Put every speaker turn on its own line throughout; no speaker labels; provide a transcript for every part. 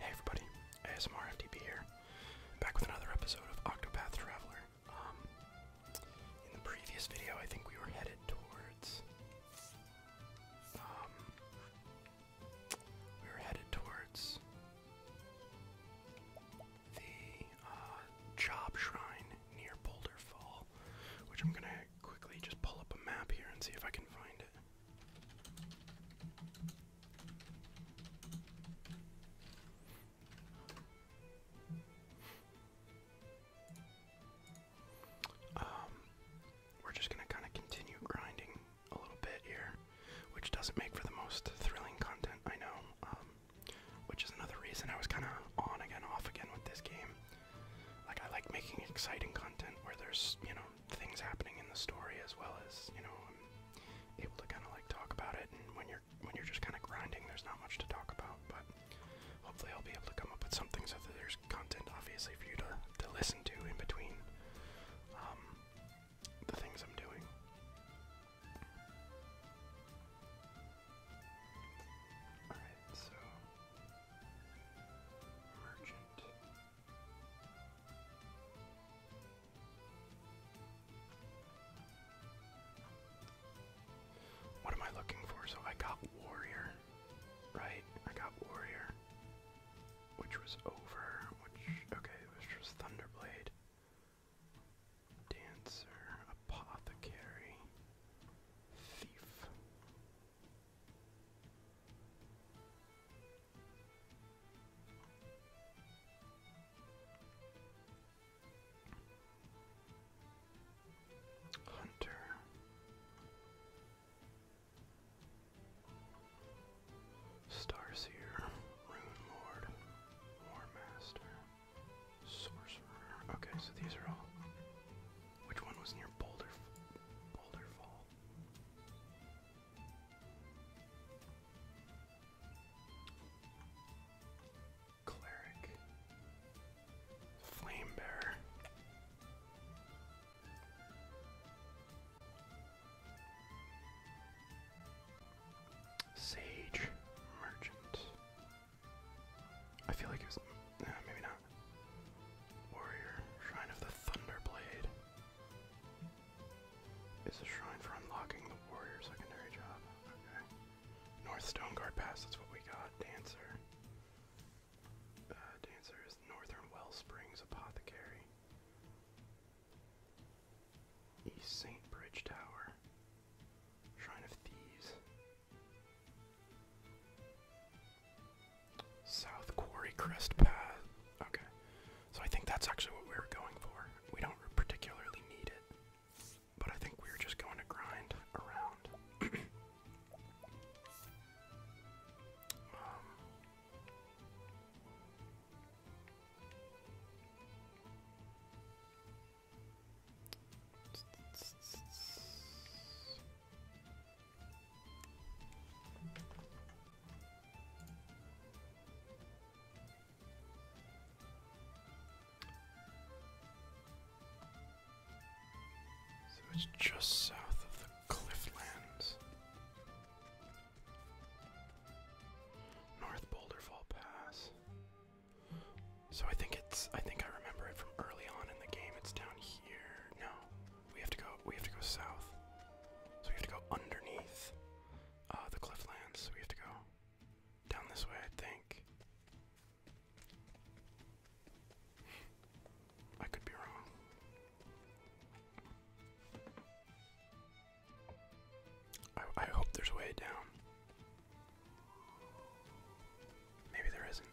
Hey everybody, ASMR FTP here, back with another episode of Octopath Traveler. Um, in the previous video, I think we were headed towards, um, we were headed towards the uh, job shrine near Boulder Fall, which I'm gonna quickly just pull up a map here and see if I can find it. Um, we're just gonna kind of continue grinding a little bit here, which doesn't make for the most thrilling content, I know. Um, which is another reason I was kind of on again, off again with this game. Like I like making exciting content where there's, you know, things happening in the story as well as, you know, I'm able to kind of like talk about it and when you're when you're just kind of grinding, there's not much to talk about, but hopefully I'll be able to come up with something so that there's content obviously for you to to listen to in between um, the things I'm doing. Alright, so what am I looking for? So I got warrior, right? I got warrior, which was over. Which okay, which was Thunderblade. Dancer, apothecary, thief. Hunter. Starseer, Rune Lord, War Master, Sorcerer. Okay, so these are all which one was near Boulder Boulder Fall? Cleric Flame Sage Merchant. I feel like it was. Uh, maybe not. Warrior, Shrine of the Thunderblade. It's a shrine for unlocking the warrior secondary job. Okay. North Stoneguard Pass, that's what we got. Dancer. Uh, Dancer is Northern Wellsprings Apothecary. East St. Bridge Tower. Shrine of Thieves. South Quarry Crest Path. Okay. So I think that's actually what we were going for. We don't particularly need it, but I think we are just going to grind around. Um, so it's just south of the Clifflands. North Boulderfall Pass. So I think it's I think I remember it from early on in the game. It's down here. No. We have to go. We have to go south. So we have to go underneath uh, the clifflands. We have to go down this way, I think. I could be wrong. I hope there's a way down. Maybe there isn't.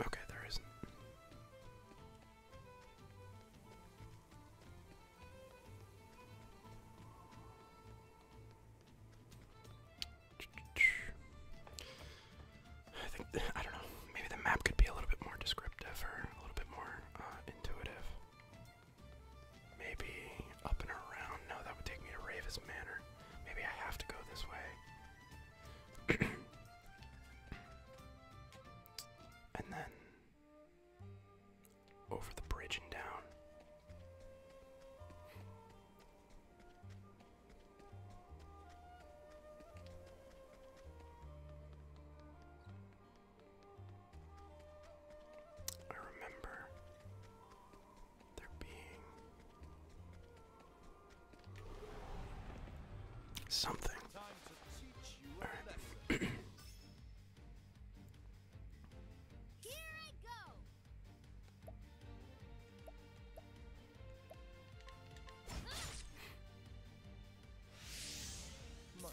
Okay, there isn't. I think I don't know. Maybe the map could be a little bit more descriptive or a little bit more uh, intuitive. Maybe up and around. No, that would take me to Ravis Manor. Maybe I have to go this way. and then over the bridge and down. I remember their being. Something. All right. Here I go.
My turn.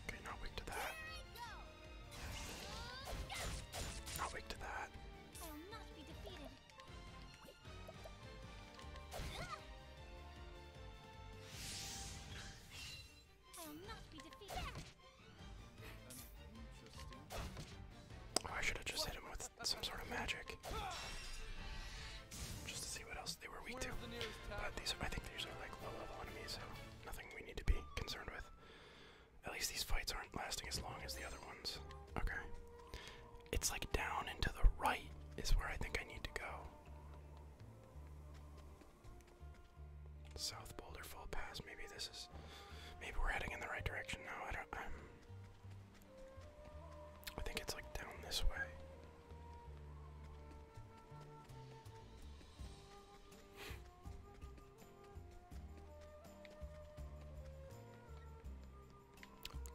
Okay, now wait to that.
I'll wait to that.
I will not be
I should have just hit him with some sort of magic. Just to see what else they were weak to. But these I think these are like low level enemies, so nothing we need to be concerned with. At least these fights aren't lasting as long as the other ones. Okay. It's like down and to the right is where I think I need to go. South Boulder Fall Pass. Maybe this is. Maybe we're heading in the right direction now. I don't. i think it's like down this way.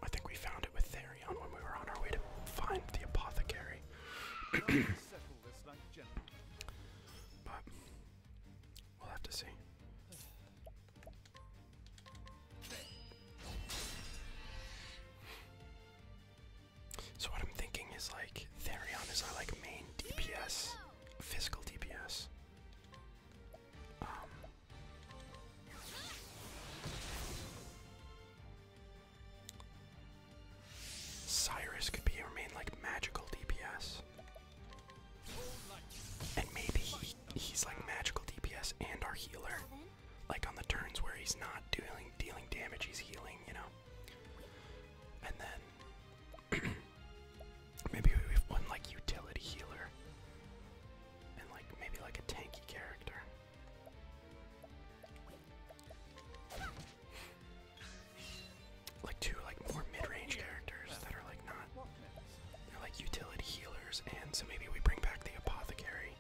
I think we found it with Therion when we were on our way to find the apothecary. But we'll have to see. So what I'm thinking is like Therion is our like main DPS, physical DPS. Um, Cyrus could be remain like magical DPS. And maybe he's like magical DPS and our healer. Like on the turns where he's not doing dealing damage, he's healing, you know. And then maybe we have one like utility healer. And like maybe like a tanky character like two like more mid-range characters that are like not they're like utility healers and so maybe we bring back the apothecary.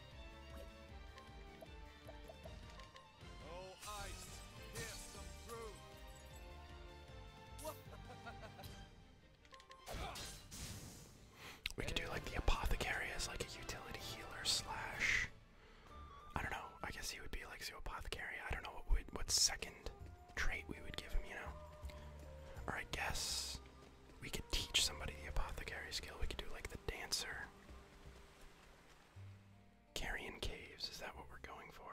We could do like the apothecary as like a utility healer slash I don't know. I guess he would be like apothecary. I don't know what what second trait we would give him, you know? Or I guess we could teach somebody the apothecary skill. We could do like the dancer. Carrying caves, is that what we're going for?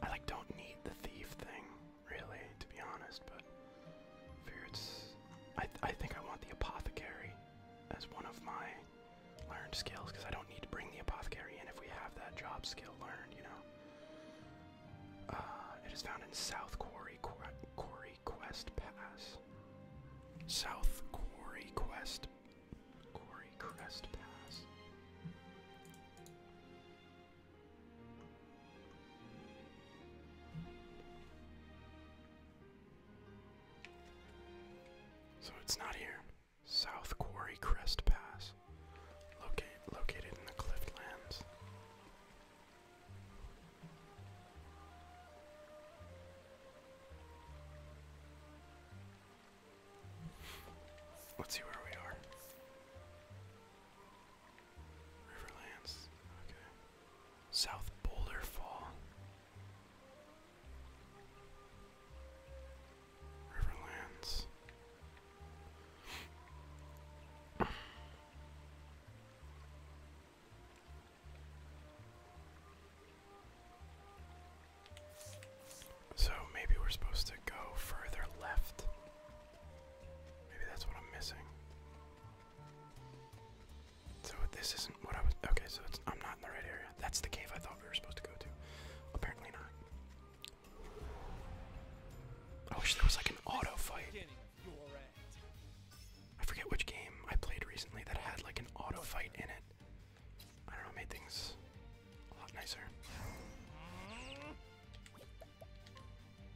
I like don't need the thief thing really, to be honest, but I think I want the apothecary as one of my learned skills because I don't need to bring the apothecary in if we have that job skill learned, you know. Uh, it is found in South Quarry Quarry Quest Pass. South Quarry Quest Quarry Crest Pass. So it's not here. South Quarry Crest Pass, locate, located in the Cliftlands. Let's see where we are. Riverlands. Okay. South Boulder Fall. Riverlands. So maybe we're supposed to go further left. Maybe that's what I'm missing. So this isn't what I was. Okay, so I'm not in the right area. That's the cave I thought we were supposed to go to. Apparently not. I wish there was like an auto fight. I forget which game I played recently that had like an auto fight in it. I don't know, made things a lot nicer.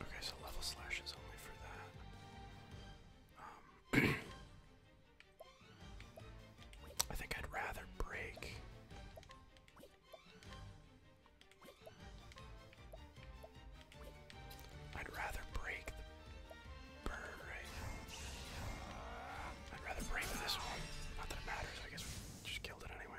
Okay, so level slash is only for that. Um, I think I'd rather break. I'd rather break the bird right now. I'd rather break this one. Not that it matters, I guess just killed it anyway.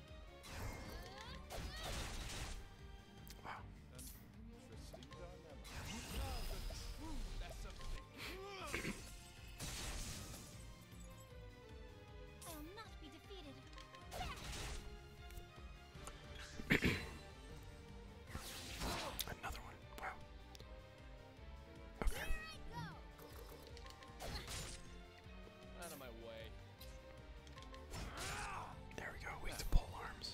Wow. I'll not be defeated.
Another one. Wow. Okay. Out of my way. There we go, weak to pole arms.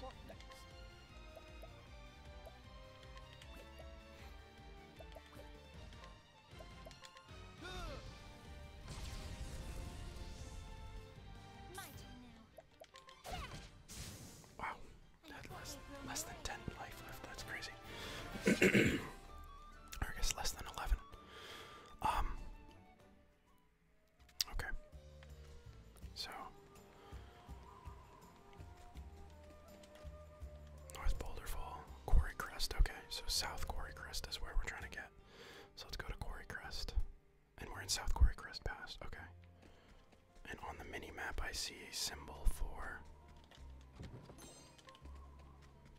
Wow, less, than 10 life left, that's crazy. I guess less than 11. Um, Okay. So North Boulder Quarry Crest. Okay, so South Quarry Crest is where we're trying to get. So let's go to Quarry Crest. And we're in South Quarry Crest Pass. Okay. And on the mini map, I see a symbol for.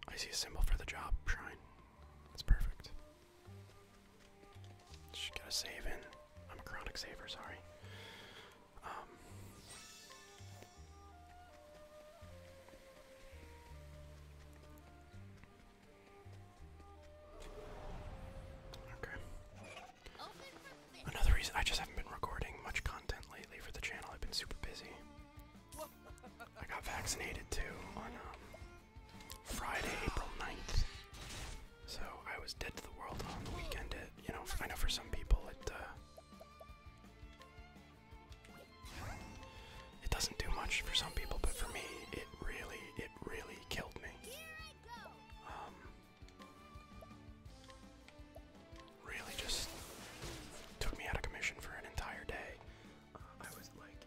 I see a symbol for the job shrine. It's perfect. Just gotta save in. I'm a chronic saver, sorry. Um, okay. Another reason I just haven't been recording much content lately for the channel. I've been super busy. I got vaccinated too um, Friday, April 9th. So I was dead to the world on the weekend. you know, I know for some people it uh, it doesn't do much for some people, but for me, it really, it really killed me. Um, really, just took me out of commission for an entire day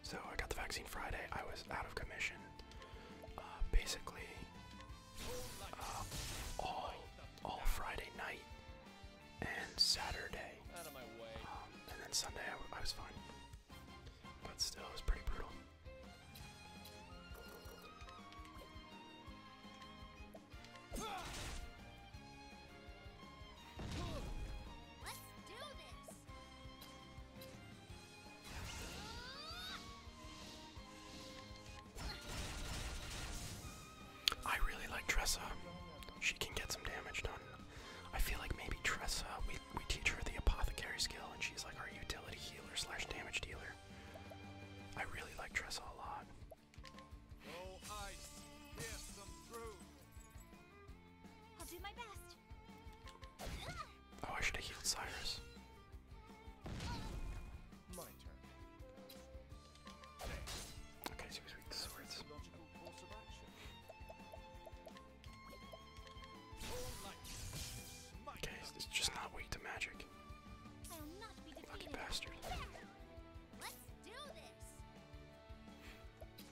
so I got the vaccine Friday. I was out of commission. Uh, basically, uh, all all Friday night and Saturday, um, and then Sunday I, I was fine. But still, it was pretty brutal.
Let's do this.
I really like Tressa. She can get some damage done. I feel like maybe Tressa, we, we teach her the apothecary skill, and she's like our utility healer slash damage dealer. I really like Tressa a lot. Oh, I should have healed Cyrus. Okay, so he's weak to swords.
Okay, it's just not weak to magic. Lucky bastard.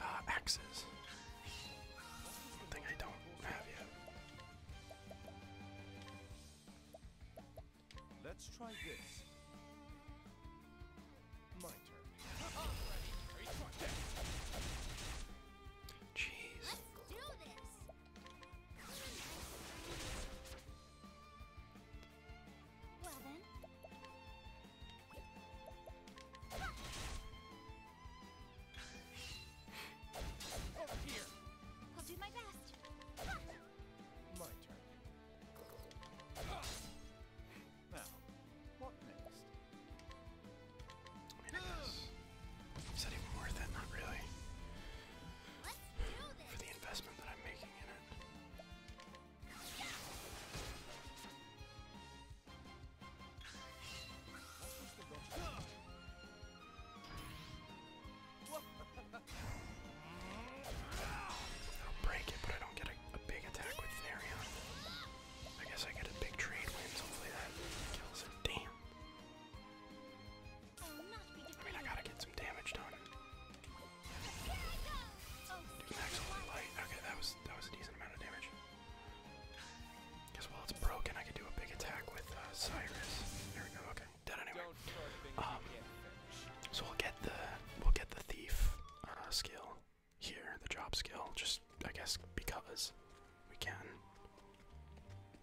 Uh, axes. Thing I don't have yet. Let's
try this. Jeez. Let's do this. Well then. Over here. I'll do my best. My turn
what next? Is that even worth it? Not really. For the investment that I'm making in it.
I'll
break it, but I don't get a, big attack with Therion. I guess I get a big trade wins. Hopefully that kills him. Damn. I mean, I gotta get some damage done.
Do
max light. Okay, that was that was a decent amount of damage. Guess while it's broken, I could do a big attack with uh, Cyrus. There we go. Okay, dead anyway. Um, so we'll get the we'll get the thief uh, skill here, the job skill, just I guess because we can.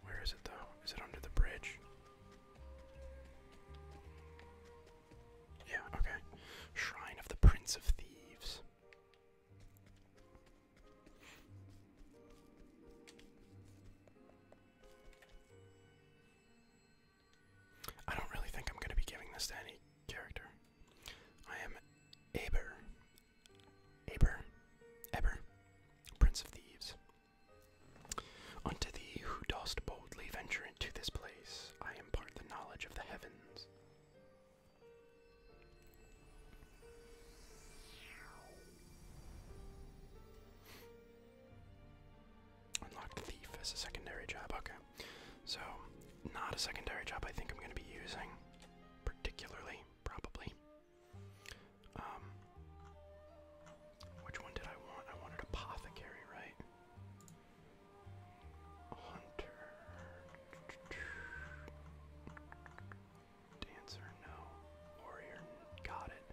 Where is it though? Is it under the bridge? Yeah, okay. Shrine of the Prince of Thieves. I don't really think I'm going to be giving this to any character. I am Aber, Aber, Aber, Prince of Thieves. Unto thee who dost boldly venture into this place, I impart the knowledge of the heavens. Unlock thief as a secondary job. So, not a secondary job I think I'm going to be using, particularly, probably. Um, which one did I want? I wanted apothecary, right? Hunter. Dancer, no. Warrior, got it.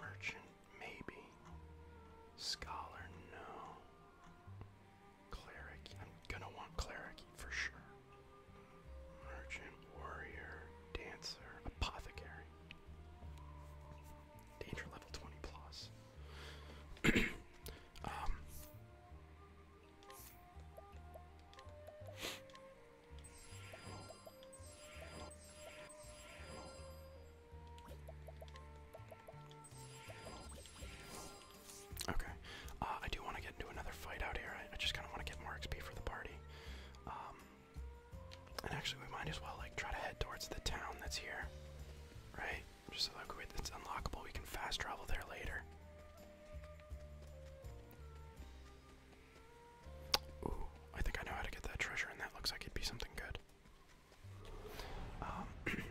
Merchant, maybe. Scholar, no. Cleric. I'm gonna want cleric for sure. Merchant, warrior, dancer, apothecary. Danger level 20 plus. Um, Okay. Uh, I do want to get into another fight out here. I, just kind of want to get more XP for the party. Um, and actually, we might as well like try to head towards the town that's here, right? Just so like it's unlockable, we can fast travel there later. Ooh, I think I know how to get that treasure, and that looks like it'd be something good. Um,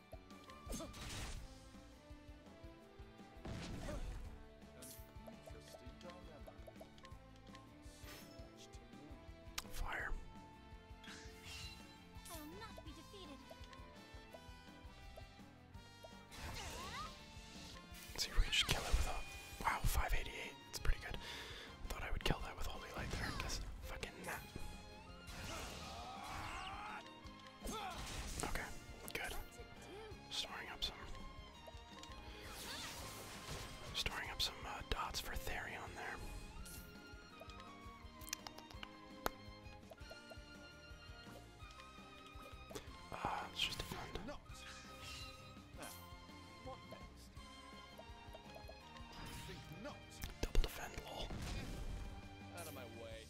Fire. see we can
kill it with a wow, 588.
It's pretty good. I Thought I would kill that with holy light there. Guess fucking not. Okay, good. Storing up some storing up some uh, dots for Therion there. Ah, it's just a fund. Double defend, lol. Out of my way.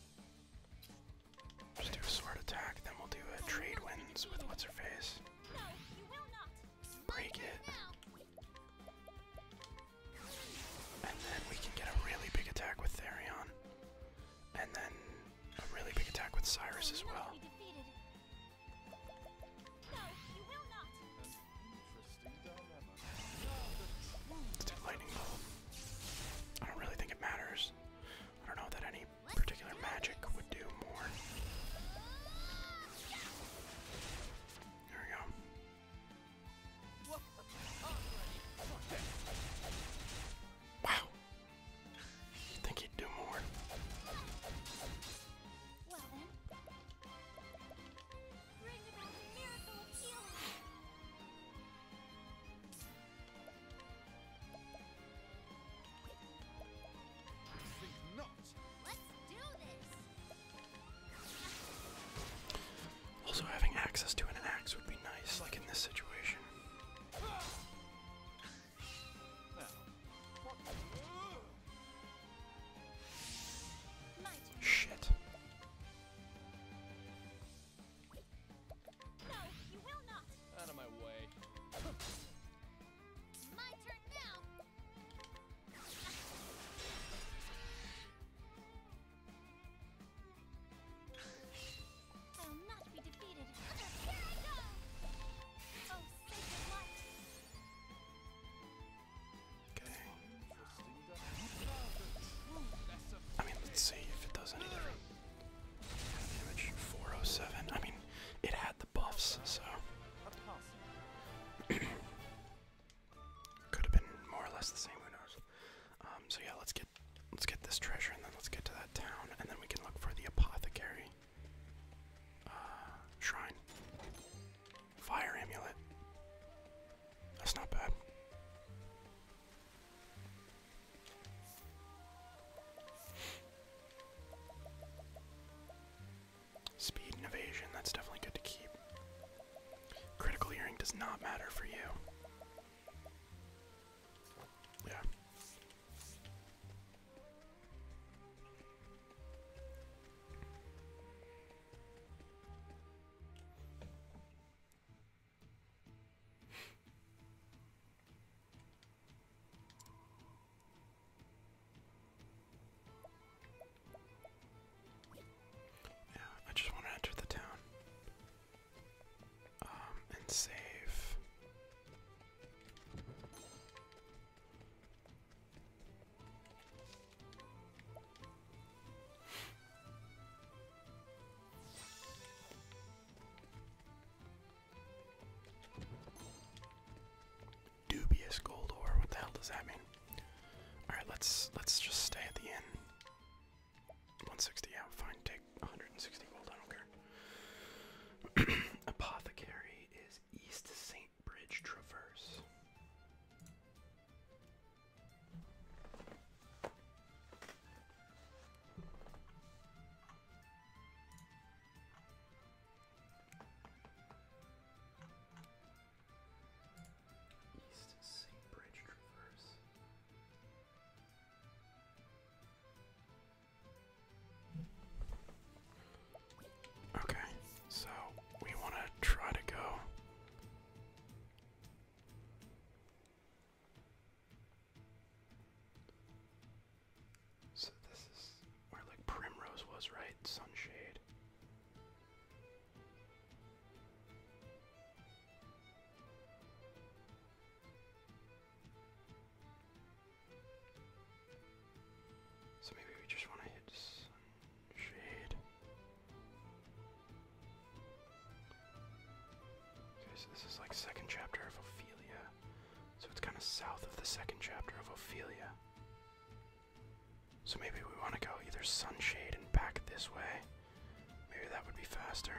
Just do a sword attack, then we'll do a trade wins with what's her face. Break it. And then we can get a really big attack with Therion. And then a really big attack with Cyrus as well. not lightning bolt. I don't really think it matters. I don't know that any particular magic would do more. There we go.
Wow. You think he'd do more?
Also, having access to an axe would be nice, like in this situation.
Shit. Out of my way. my turn now! I'll not be defeated. Here I go! Oh, sacred light!
I mean, let's see if it does any Damage 407. I mean, it had the buffs, so. Could have been more or less the same. Who knows? Um, so yeah, let's get let's get this treasure, and then let's get to that town, and then we can look for the apothecary uh, shrine. Fire amulet. That's not bad. Speed and evasion, that's definitely good to keep. Critical hearing does not matter for you. Yeah. Yeah, I just want to enter the town um, and save. Dubious gold ore. What the hell does that mean? All right, let's let's just stay at the inn. 160 out. Fine, take 160 gold. I don't care. Apothecary is East Saint Bridge Traverse. East Sea Bridge Traverse. Okay, so we want to try to go so this is where like Primrose was, right? Sunshade. So maybe we just want to hit Shade. Okay, so this is like second chapter of Ophelia. So it's kind of south of the second chapter of Ophelia. So maybe we want to go either Sunshade and back this way. Maybe that would be faster.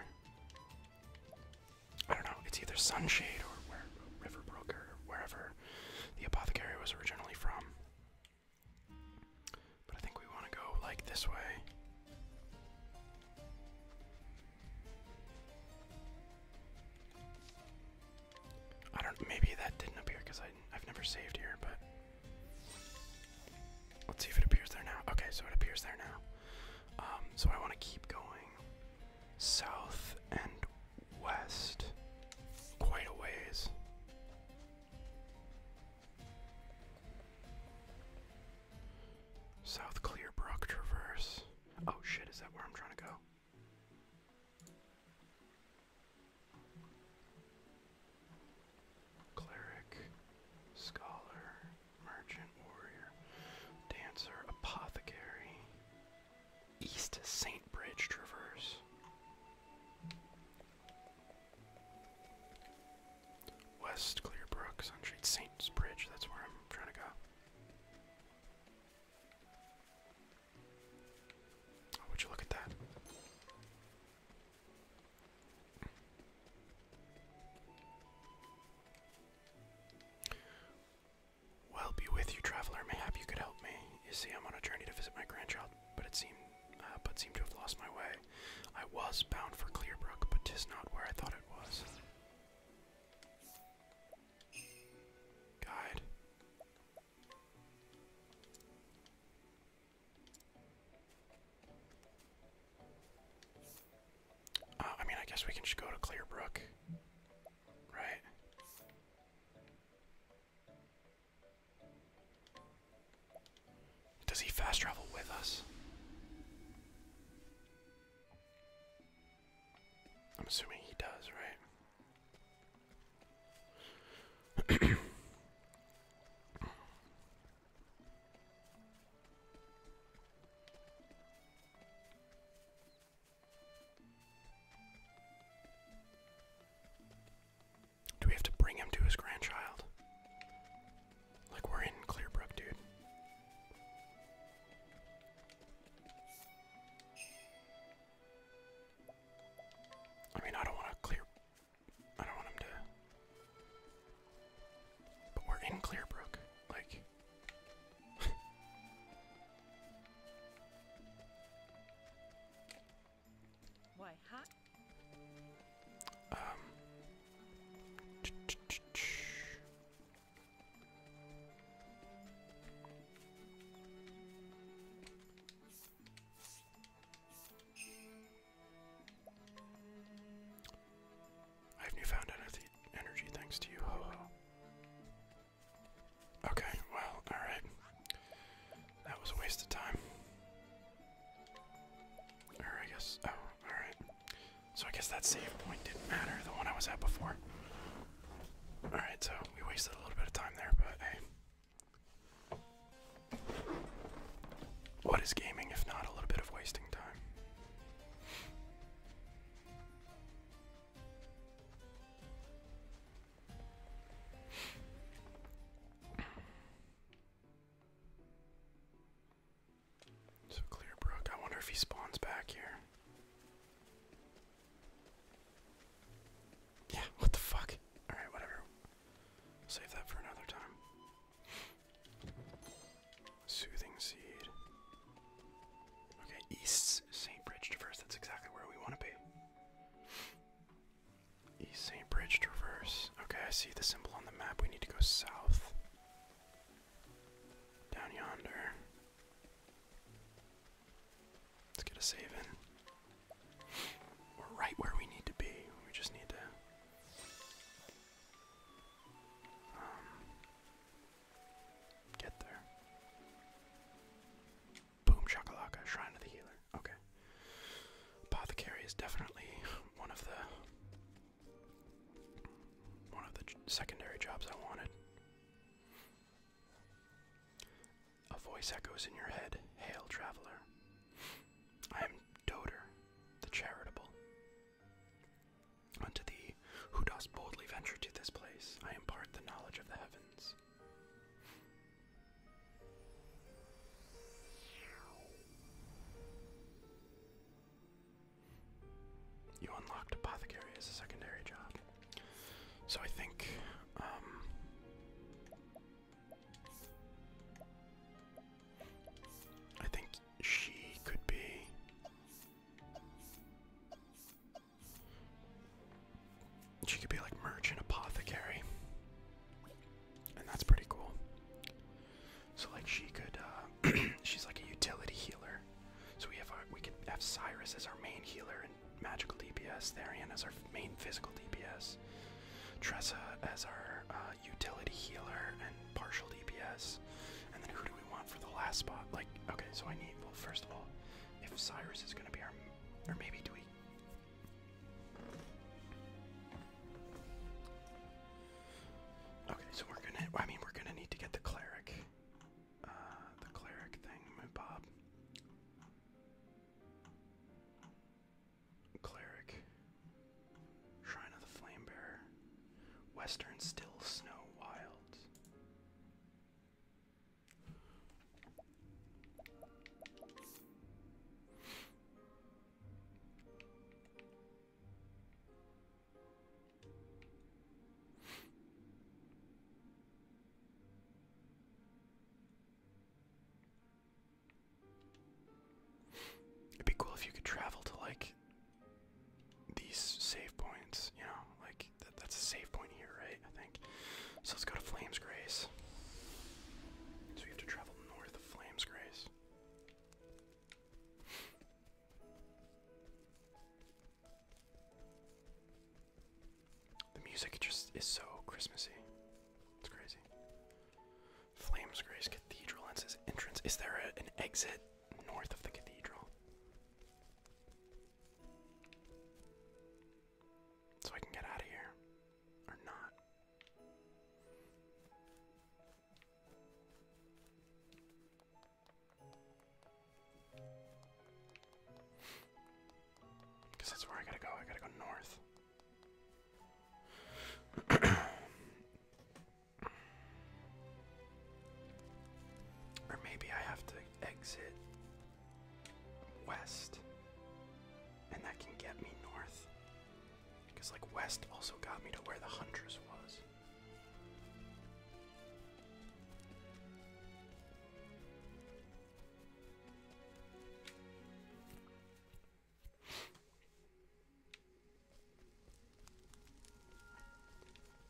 I don't know, it's either Sunshade or where, Riverbrook or wherever the apothecary was originally from. But I think we want to go like this way. I don't. Maybe that didn't appear because I've never saved here. But let's see if it appears there now. Okay, so it appears there now. Um, so I want to keep going south and west, quite a ways. South Clearbrook Traverse. Oh shit, is that where I'm trying to go? Cleric, scholar, merchant, warrior, dancer, apothecary, East Saint Bridge Traverse. West Clearbrook, Sun Street, Saints Bridge, that's where I'm trying to go. Oh, would you look at that? Well, be with you, traveler. Mayhap you could help me. You see, I'm on a journey to visit my grandchild but it seemed, uh, but seemed to have lost my way. I was bound for Clearbrook, but 'tis not where I thought it was. Guide. Uh, I mean, I guess we can just go to Clearbrook, right? Does he fast travel with us? I'm assuming he does, right? Do we have to bring him to his grandchild? Like, we're in Clearbrook, dude. I mean, I don't want to clear. I don't want him to. But we're in Clearbrook. Like.
Why, huh? Um.
I have newfound energy, energy thanks to you, Okay, well, alright. That was a waste of time. Or I guess. Oh, alright. So I guess that save point didn't matter, the one I was at before. Alright, so we wasted a little bit of time there, but hey. What is gaming if not a little bit of wasting time? So clear brook. I wonder if he spawns back here. Yeah, what the fuck? Alright, whatever. Save that for another time. Soothing seed. Okay, East St. Bridge Traverse. That's exactly where we want to be. East St. Bridge Traverse. Okay, I see the symbol on the map. We need to go south. Down yonder. Let's get a save in. We're right where we need to be. We just need to. Um, get there. Boom shakalaka, Shrine of the Healer. Okay. Apothecary is definitely one of the one of the secondary jobs I wanted. A voice echoes in your head, hail traveler. I am Doter, the charitable. Unto thee, who dost boldly venture to this place, I impart the knowledge of the heavens. You unlocked apothecary as a secondary job. So I think um I think she could be she could be like merchant apothecary and that's pretty cool. So like she could, uh, she's like a utility healer. So we have our, we can have Cyrus as our main healer and magical DPS, Therian as our main physical DPS, Tressa as our uh, utility healer and partial DPS, and then who do we want for the last spot? Like okay, so I need well first of all, if Cyrus is gonna be our, or maybe do we? Okay, so we're gonna. I mean, we're gonna need to get the cleric, uh, the cleric thing, Bob. Cleric, Shrine of the Flame Western Still Snow Wilds. It'd be cool if you could travel to like these save points, you know, like that's a save point here, right? I think. So let's go to Flames Grace. So we have to travel north of Flames Grace. the music just is so Christmassy. It's crazy. Flames Grace Cathedral and says entrance. Is there an exit north of the cathedral? So I can get out of here. Or not. Because that's where I gotta go. I gotta go north. or maybe I have to exit west, and that can get me north. Because, like, West also got me to where the Huntress was.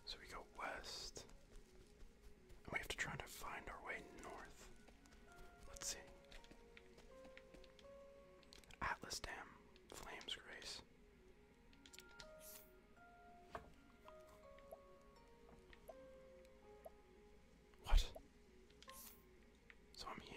So we go west, and we have to try to find our way north. Let's see. Atlas Dam, Flames Grace. What? So I'm here.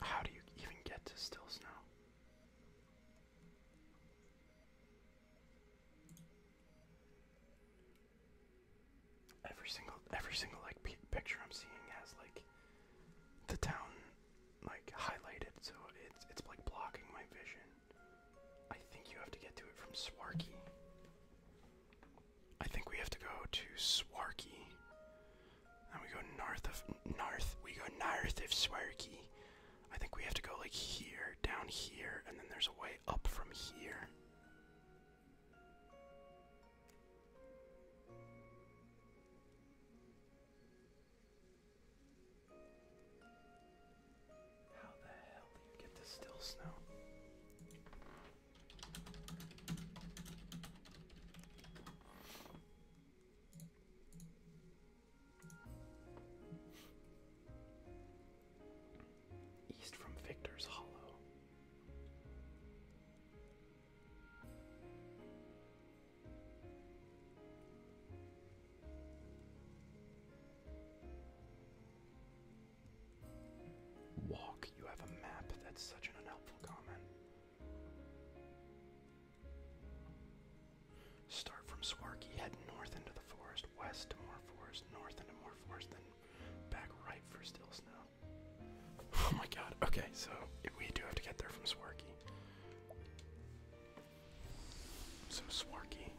How do you even get to still snow? every single every single like picture I'm seeing has like the town like highlighted, so it's it's like blocking my vision. I think you have to get to it from Swarky. I think we have to go to Swarky. And we go north of north. We go north of Swarky. I think we have to go like here, down here, and then there's a way up from here. How the hell do you get this still snow? east from Victor's Hollow. Walk, you have a map. That's such an unhelpful comment. Start from Swarky, head north into the forest, west to more forest, north into more forest, then Back right for Still Snow. Oh my god. Okay, so we do have to get there from Swarky. So Swarky.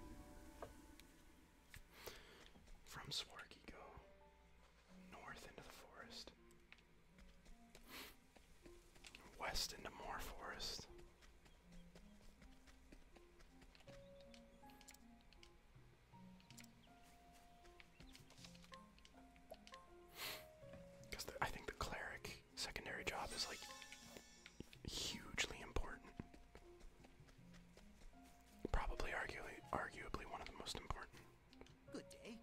From Swarky go north into the forest. West into more forest. Because I think the cleric secondary job is like hugely important. Probably arguably arguably one of the most important. Good day.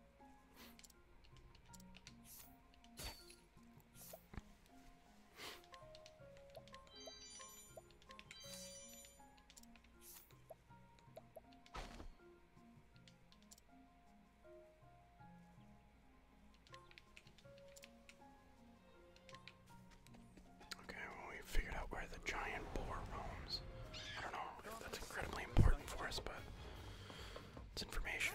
Okay, we figured out where the giant boar roams. I don't know if that's incredibly important for us, but it's information.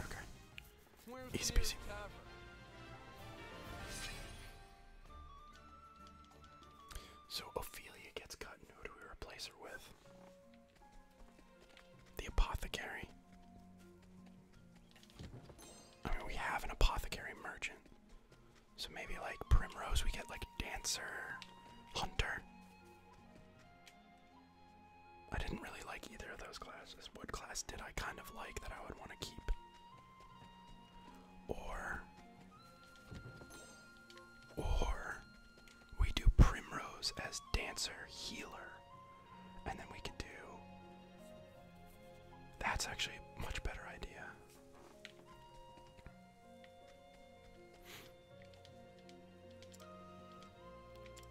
Okay. Easy peasy. So Ophelia gets cut, who do we replace her with? The apothecary. I mean, we have an apothecary merchant. So maybe like Primrose, we get like Dancer, Hunter. I didn't really like either of those classes. What class did I kind of like that I would want to keep? Or. Or we do Primrose as Dancer, Healer. And then we could do. That's actually a much better idea.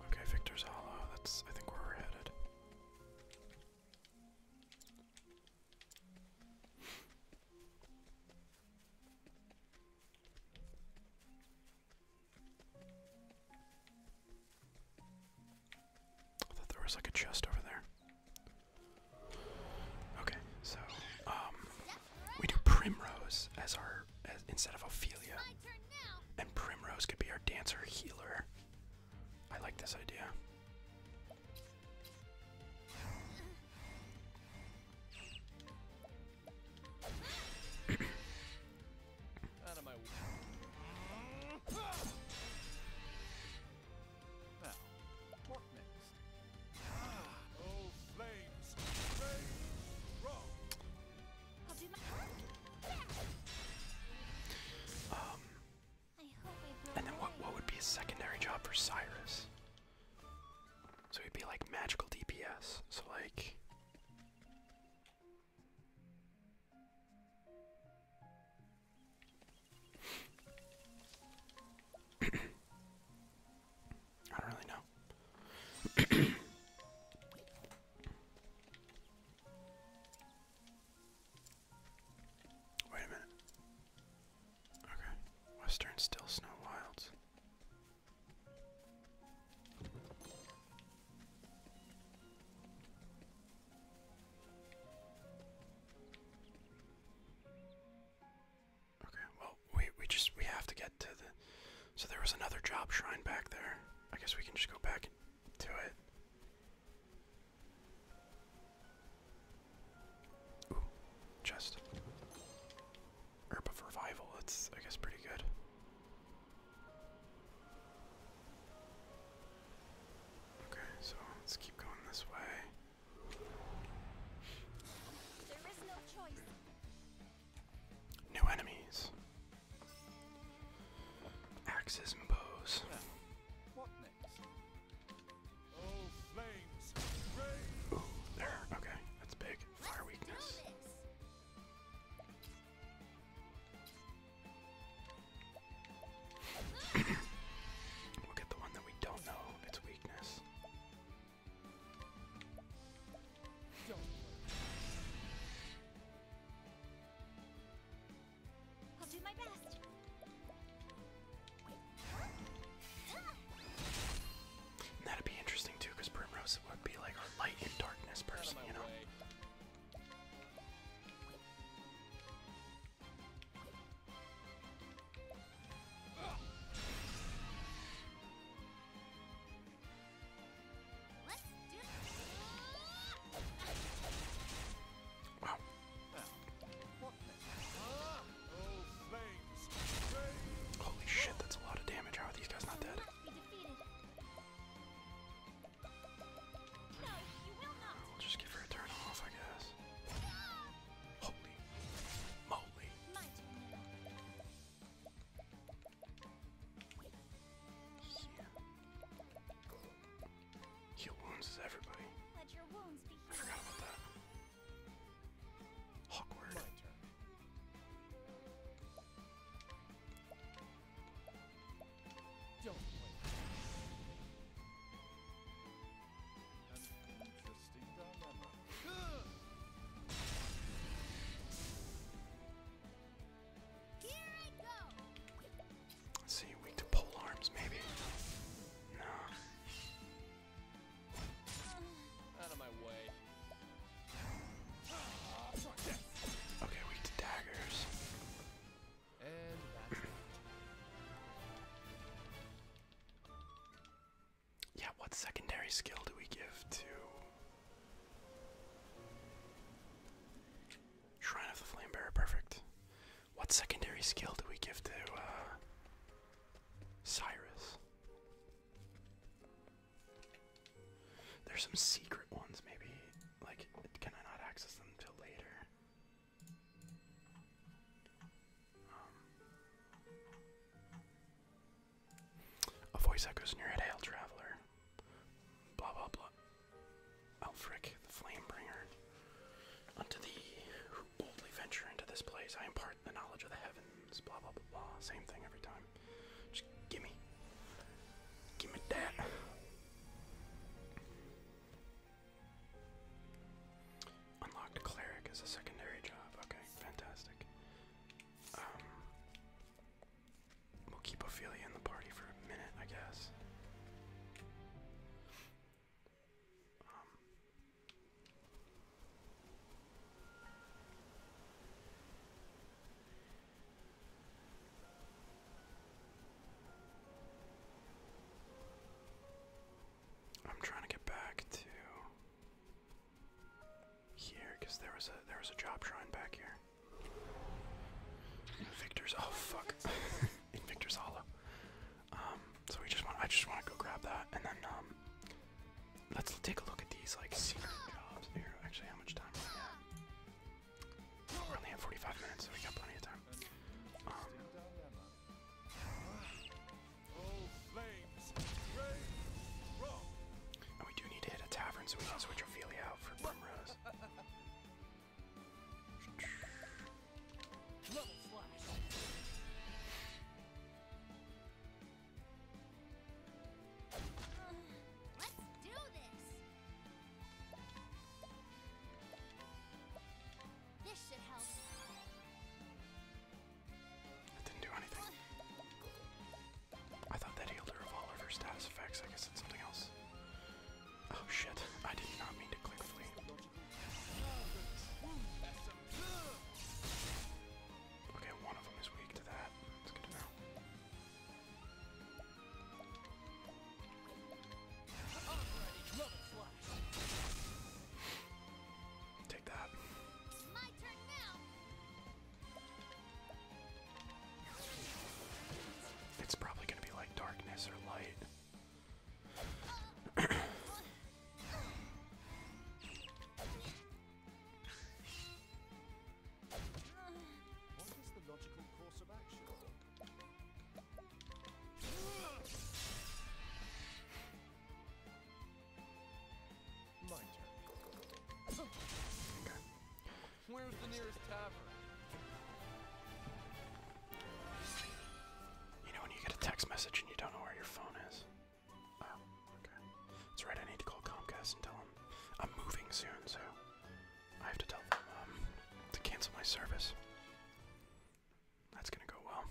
Okay, Victor's Hollow. That's, I think, where we're headed. I thought there was like a chest over there. Okay, so um, we do Primrose as our instead of Ophelia, and Primrose could be our dancer healer. I like this idea. Ah, um. and then what, what would be a secondary job for Cyrus? So he'd be like magical DPS. So, like. I don't really know. Wait a minute. Okay. Western Still Snow Wilds. Okay, well, we we just we have to get to the. So there was another job shrine back there. I guess we can just go back to it. Ooh, chest. Herb of revival. That's I guess pretty good. Okay, so let's keep going this way. There is no choice. New enemies. Axes and bows. there. Okay, that's big. Fire weakness. we'll get the one that we don't know its weakness. I'll do my best. that'd be interesting too, Primrose would be like light and darkness person, you know. Holy shit, that's a lot of damage. How are these guys not dead? We'll just give her a turn off, I guess. Holy moly. Yeah. Heal wounds is everybody.
I
forgot about that. Awkward.
An interesting dilemma.
to pole arms, maybe. No. Out of my way. Okay, weak to daggers. And yeah, what secondary skill do we give to Shrine of the Flamebearer? Perfect. What secondary skill do we give to uh, Cyrus? There's some secret ones, maybe. Like, can I not access them till later? Um, a voice echoes in your head, hail traveler. Blah blah blah. Alfric, the Flamebringer. Unto thee who boldly venture into this place, I impart the knowledge of the heavens. Blah blah blah blah. Same thing every time. Just gimme. Gimme that. Unlocked cleric as a secondary job. Okay, fantastic. Um, we'll keep Ophelia in the party for a minute, I guess. Um, I'm trying to get back to here because there was a there was a job shrine back here. Victor's oh fuck, Victor's Hollow. Um, so we just want I just want to go grab that and then um, let's take a look at these like secret jobs here. Actually, how much time? We have? Oh, we only have 45 minutes, so we got plenty of time. Um, and we do need to hit a tavern so we can switch Ophelia out for Primrose. Level slash. Uh,
let's do this. This should help. It
didn't do anything. I thought that healed her of all of her status effects. I guess it's something else. Oh shit, I did not mean to click flee. Okay, one of them is weak to that. That's good to know. Take that. It's probably going to be like darkness or light. Where's the nearest tavern? You know when you get a text message and you don't know where your phone is? Oh, okay. That's right, I need to call Comcast and tell them I'm moving soon, so I have to tell them um, to cancel my service. That's gonna go well.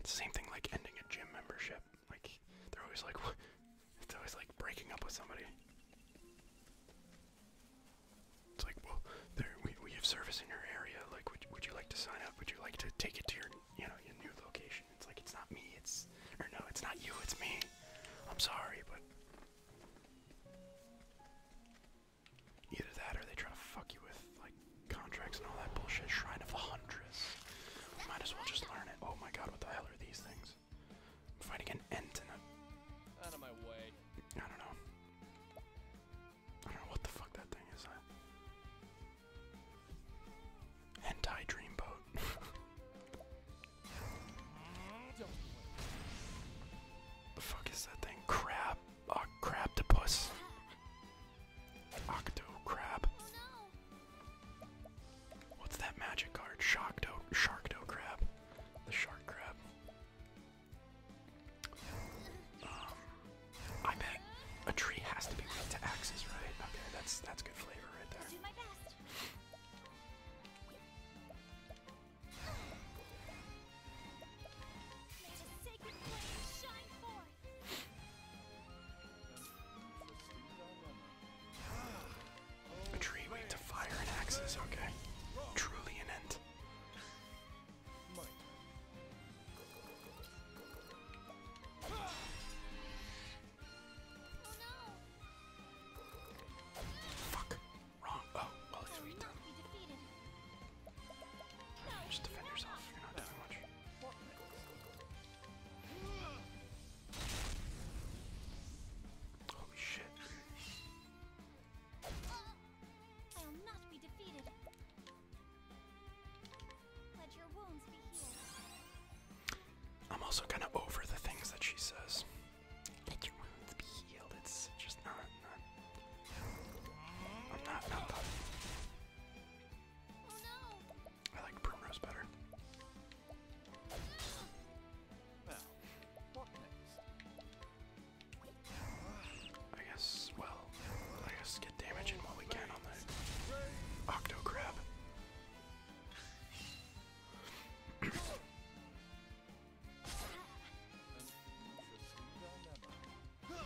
It's the same thing like ending a gym membership. Like they're always like, it's always like breaking up with somebody. It's like, well, we we have service in your area. Like, would would you like to sign up? Would you like to take it to your you know your new location? It's like it's not me. It's or no, it's not you. It's me. I'm sorry, but either that or they try to fuck you with like contracts and all that bullshit. Shrine of the Huntress. We might as well just learn it. Oh my god, what the hell are these things? I'm fighting an Entina. Out of my way. I don't know. I don't know what the fuck that thing is. Huh? Dreamboat. the fuck is that thing? Crab. Oh, uh, crab Octo crab. Oh, What's that magic card? Sharkdo Sharkdo crab. The shark crab. Um, I bet a tree has to be linked to axes, right? Okay, that's that's good flavor right there. A tree wait to fire and axes, okay. Truly an end. Fuck. Wrong. Oh, well, just defend yourself, you're not doing much.
Holy shit. I will not be defeated. Let your wounds be healed.
I'm also kind of over the things that she says. Let your wounds be healed. It's just not, I'm not Oh, I like Primrose better. I guess, well, I guess get damage in while we can on the Octo Crab.
My turn.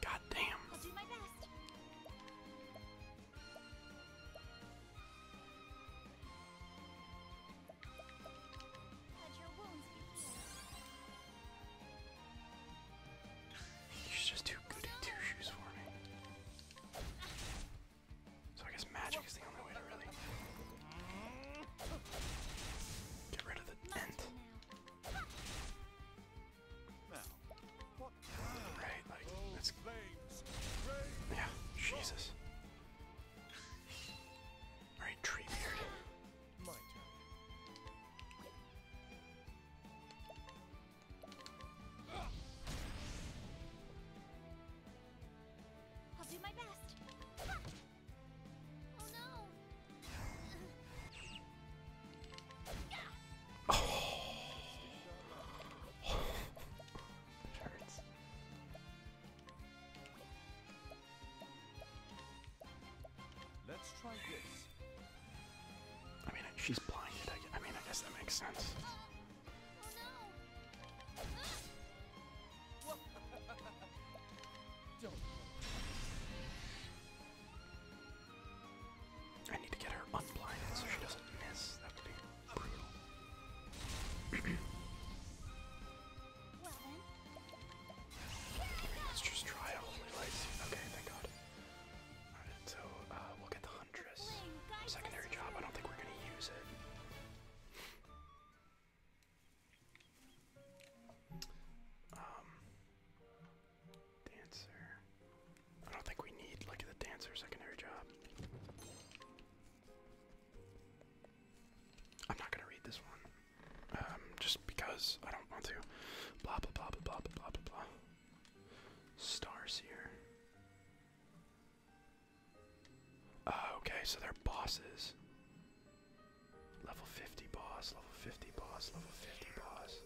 God damn. I'll do my best.
He's just too goody two shoes for me. So I guess magic is the only way to really get rid of the dent. Right, like that's yeah, Jesus. All right, tree
I'll do my best. Oh no. it
hurts. Let's try this. I mean, she's blinded. I, mean, I guess that makes sense. I need to get her unblinded so she doesn't miss. That would brutal. Let's just try a holy light. Okay, thank God so uh, we'll get the Huntress. Secondary job, I don't think we're gonna use it. Um, dancer. I don't think we need, like, the dancer secondary job. I'm not gonna read this one, um, just because I don't want to. Blah, blah, blah, blah, blah, blah, blah, Stars here. Uh, okay, so they're bosses. Level 50 boss, level 50 boss, level 50 boss,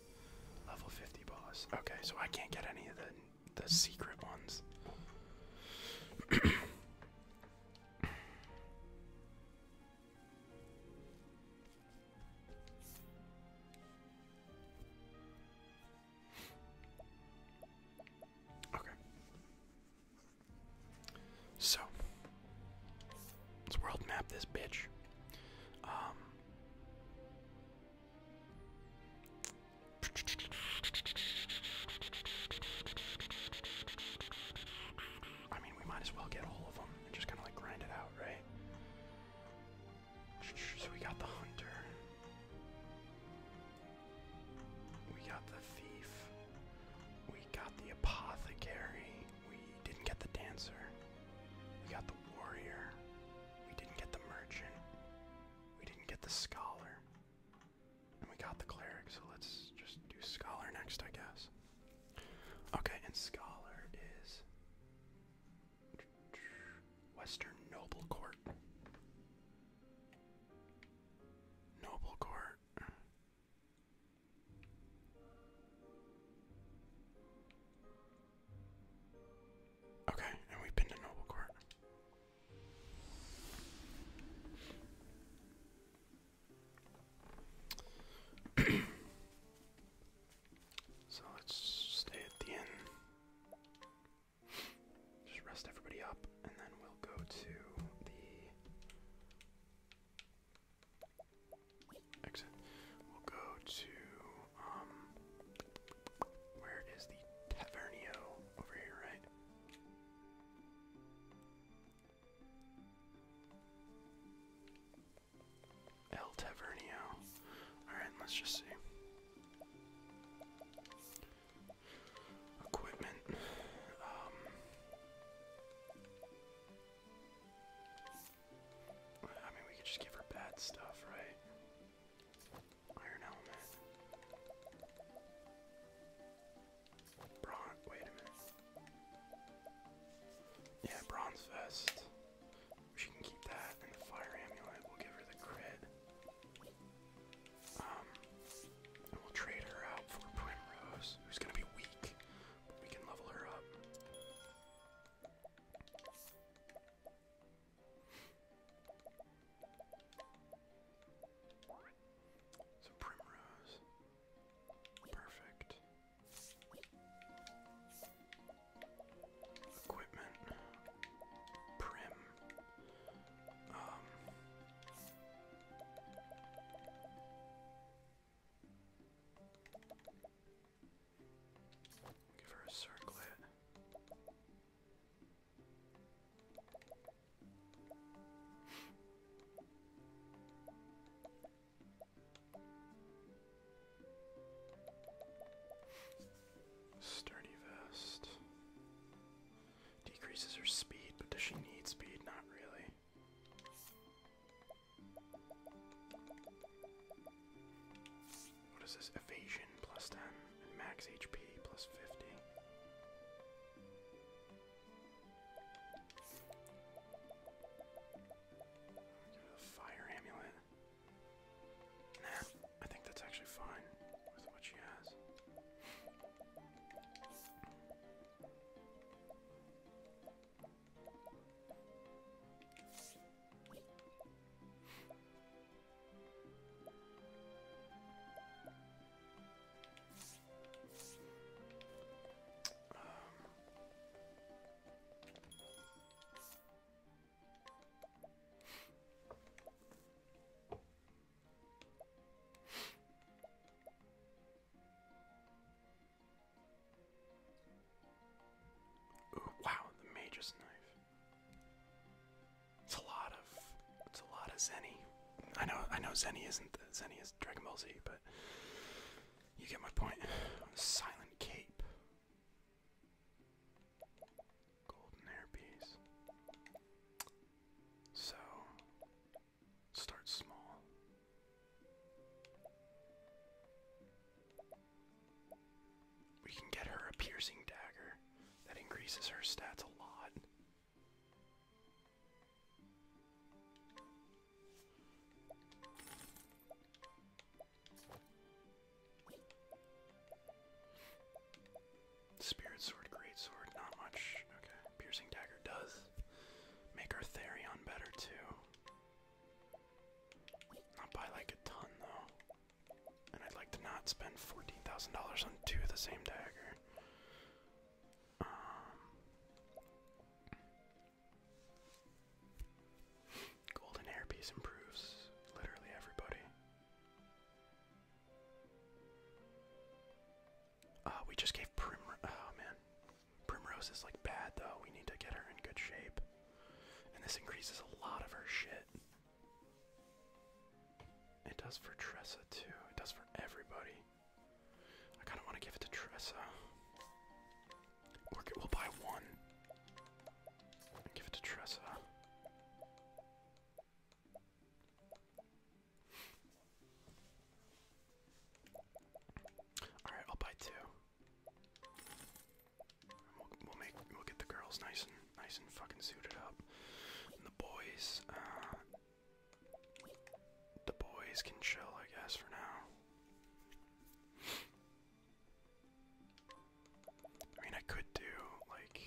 level 50 boss. Okay, so I can't get any of the the secret ones. Okay. So let's world map this bitch. Um, I mean, we might as well get all of them and just kind of like grind it out, right? So we got the hunter. We got the thief. We got the apothecary. We didn't get the dancer. We got the warrior. We didn't get the merchant. We didn't get the scholar. And we got the cleric, so let's just do scholar next, I guess. Okay, and scholar is Western Noble Court. Noble Court. Okay, and we've been Noble Court. So let's stay at the inn. Just rest everybody up, and then we'll go to the exit. We'll go to um, where is the Tavernio over here, right? El Tavernio. Alright, let's just see. Equipment. Um, I mean, we could just give her bad stuff, right? Iron element. Bron wait a minute. Yeah, bronze vest. She can keep that, and the fire amulet will give her the crit. Um, and we'll trade her out for Primrose, who's gonna be weak, but we can level her up. So Primrose, perfect. Equipment. Prim. Um, give her a circlet. Sturdy vest. Decreases her speed, but does she need speed? Not really. What is this? Evasion plus 10 and max HP plus 50. A fire amulet. I think that's actually fine with what she has. Um, Ooh, wow, the mage's knife. It's a lot of it's a lot of Zenny. I know I know Zenny isn't Zenny is Dragon Ball Z, but you get my point. Silent cape. Golden hairpiece. So, start small. We can get her a piercing dagger that increases her stats a lot. Spirit sword, great sword, not much. Okay. Piercing dagger does make our Therion better too. Not by like a ton though. And I'd like to not spend $14,000 on two of the same dagger. Um, Golden hairpiece improves literally everybody. Uh, we just gave Prim. Oh man, Primrose is like bad though. We need to get her in good shape, and this increases a lot of her shit. It does for Tressa too. It does for everybody. I kind of want to give it to Tressa. Orchid will buy one. give it to Tressa. Alright, I'll buy two. will make we'll get the girls nice and nice and fucking suited up. And the boys, uh, the boys can chill, I guess, for now. I mean, I could do, like.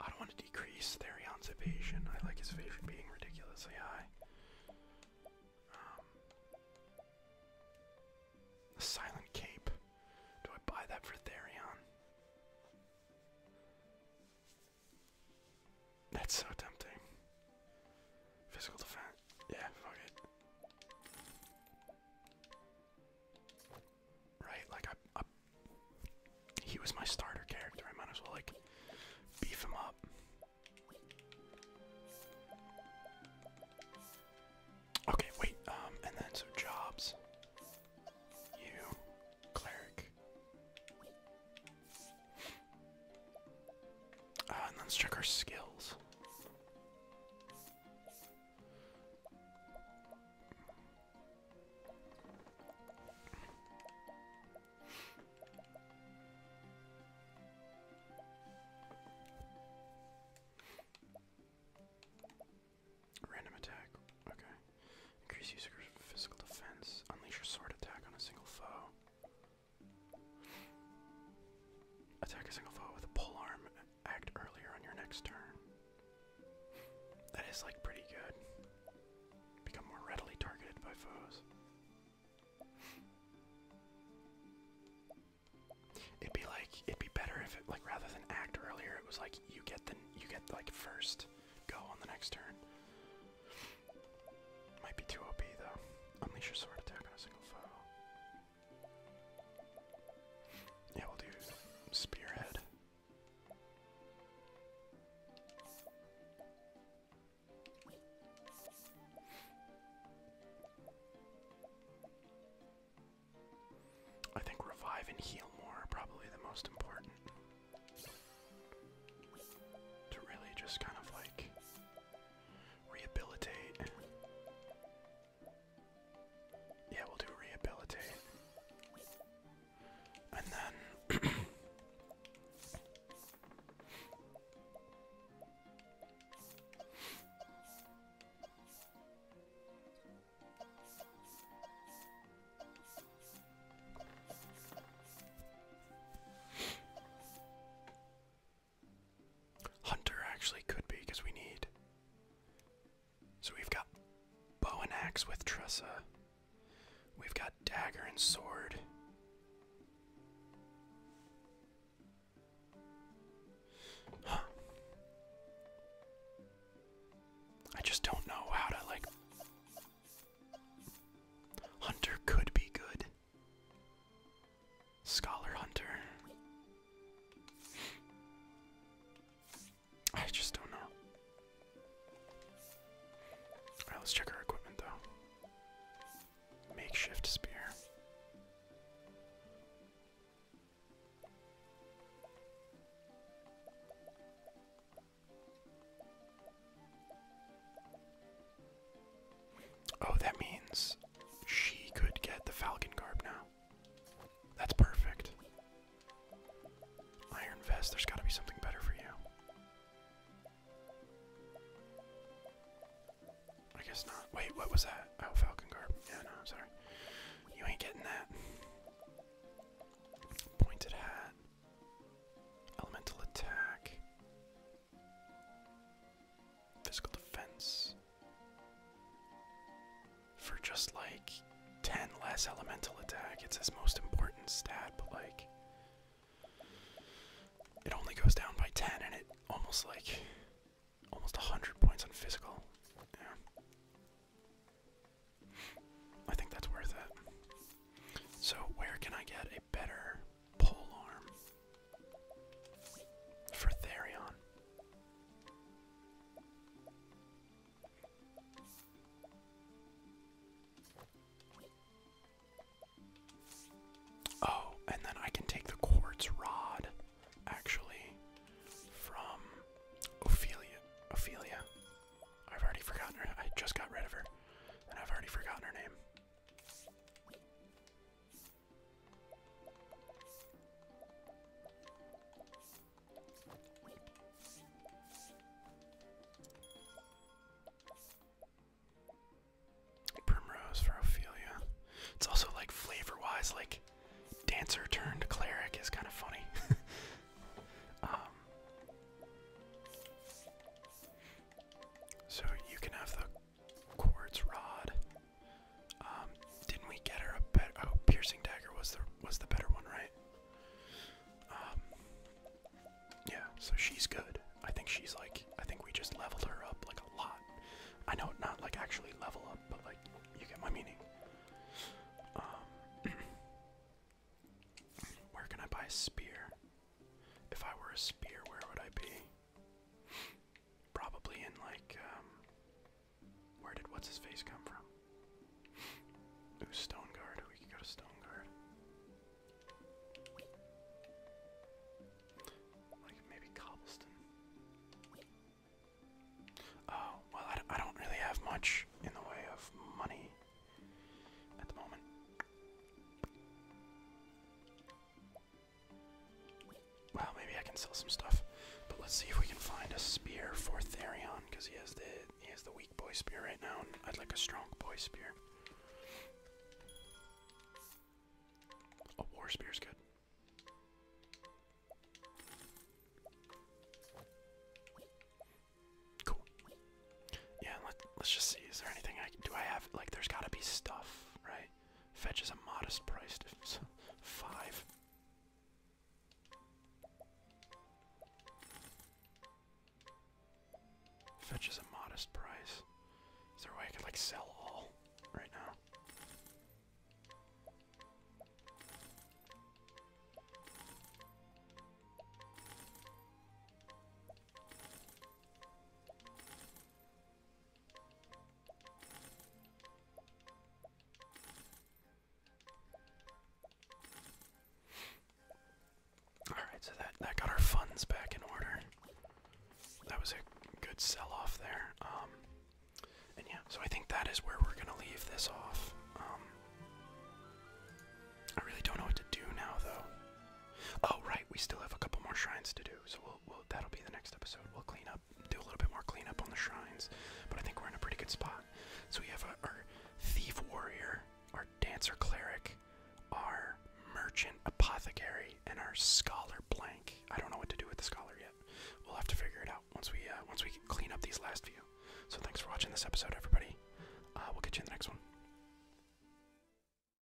I don't want to decrease Therion's evasion. I like his evasion being ridiculously high. Um, the Silent Cape. Do I buy that for Therion? That's so tempting. Physical defense. Yeah, fuck it. Right, like I, he was my starter character. I might as well like beef him up. Okay, wait. Um, and then so jobs. You, cleric. Ah, let's check our skills. Random attack. Okay. Increase user physical defense. Unleash your sword attack on a single foe. Attack a single foe with a pull arm act earlier on your next turn. That is like pretty good. Become more readily targeted by foes. It'd be like it'd be better if like rather than act earlier, it was like you get the you get like first go on the next turn. Might be too OP though. Unleash your sword attack on a single foe. Yeah, we'll do spearhead. I think revive and heal more are probably the most important. To really just kind of like Rehabilitate. Yeah, we'll do rehabilitate. And then Hunter actually could be because we need. So we've got bow and axe with Tressa. We've got dagger and sword. I just don't know how to like Hunter could be good. Scholar Hunter. I just don't know. Alright, let's check our equipment though. Makeshift spear. Oh, that means she could get the Falcon Garb now. That's perfect. Iron Vest, there's gotta be something better for you. I guess not. Wait, what was that? Oh, Falcon Garb. Yeah, no, I'm sorry. You ain't getting that. Pointed hat. Elemental attack. Physical defense. For just like 10 less elemental attack, it's his most important stat, but like. It only goes down by 10 and it almost like. Almost 100 points on physical. Yeah. I think that's worth it. So, where can I get a better pole arm for Therion. Oh, and then I can take the quartz rod, actually, from Ophelia. Ophelia. I've already forgotten her. I just got rid of her, and I've already forgotten her name. Primrose for Ophelia. It's also like flavor wise, like dancer turned cleric is kind of funny. Um, so you can have the quartz rod. Um, didn't we get her a better? Oh, piercing dagger was the was the better one, right? Um, yeah. So she's good. I think she's like. I think we just leveled her up like a lot. I know not like actually level up, but like you get my meaning. Um, where can I buy a spear? If I were a spear, where would I be? Probably in like, um, where did what's his face come from? Ooh, We could go to Stone Like maybe Cobblestone. Oh well, I, d I don't really have much in the way of money at the moment. Well, maybe I can sell some stuff. But let's see if we can find a spear for Therion, because he has the he has the weak boy spear right now, I'd like a strong boy spear. A war spear's good. Cool. Yeah, let, us just see. Is there anything I do? I have like, there's got to be stuff, right? Fetches a modest price Five. Fetch a modest price. Is there a way I could like sell all right now? Alright, so that, that got our funds back in order. That was a good sell-off there. Um, and yeah, so I think that is where we're gonna leave this off. Um, I really don't know what to do now, though. Oh, right, we still have a couple more shrines to do, so we'll we'll, that'll be the next episode. We'll clean up, do a little bit more cleanup on the shrines, but I think we're in a pretty good spot. So we have our thief warrior, our dancer cleric, our merchant apothecary, and our scholar blank. I don't know what to do with the scholar yet. We'll have to figure it out once we uh, once we clean up these last few. So thanks for watching this episode, everybody. Uh, we'll catch you in the next one.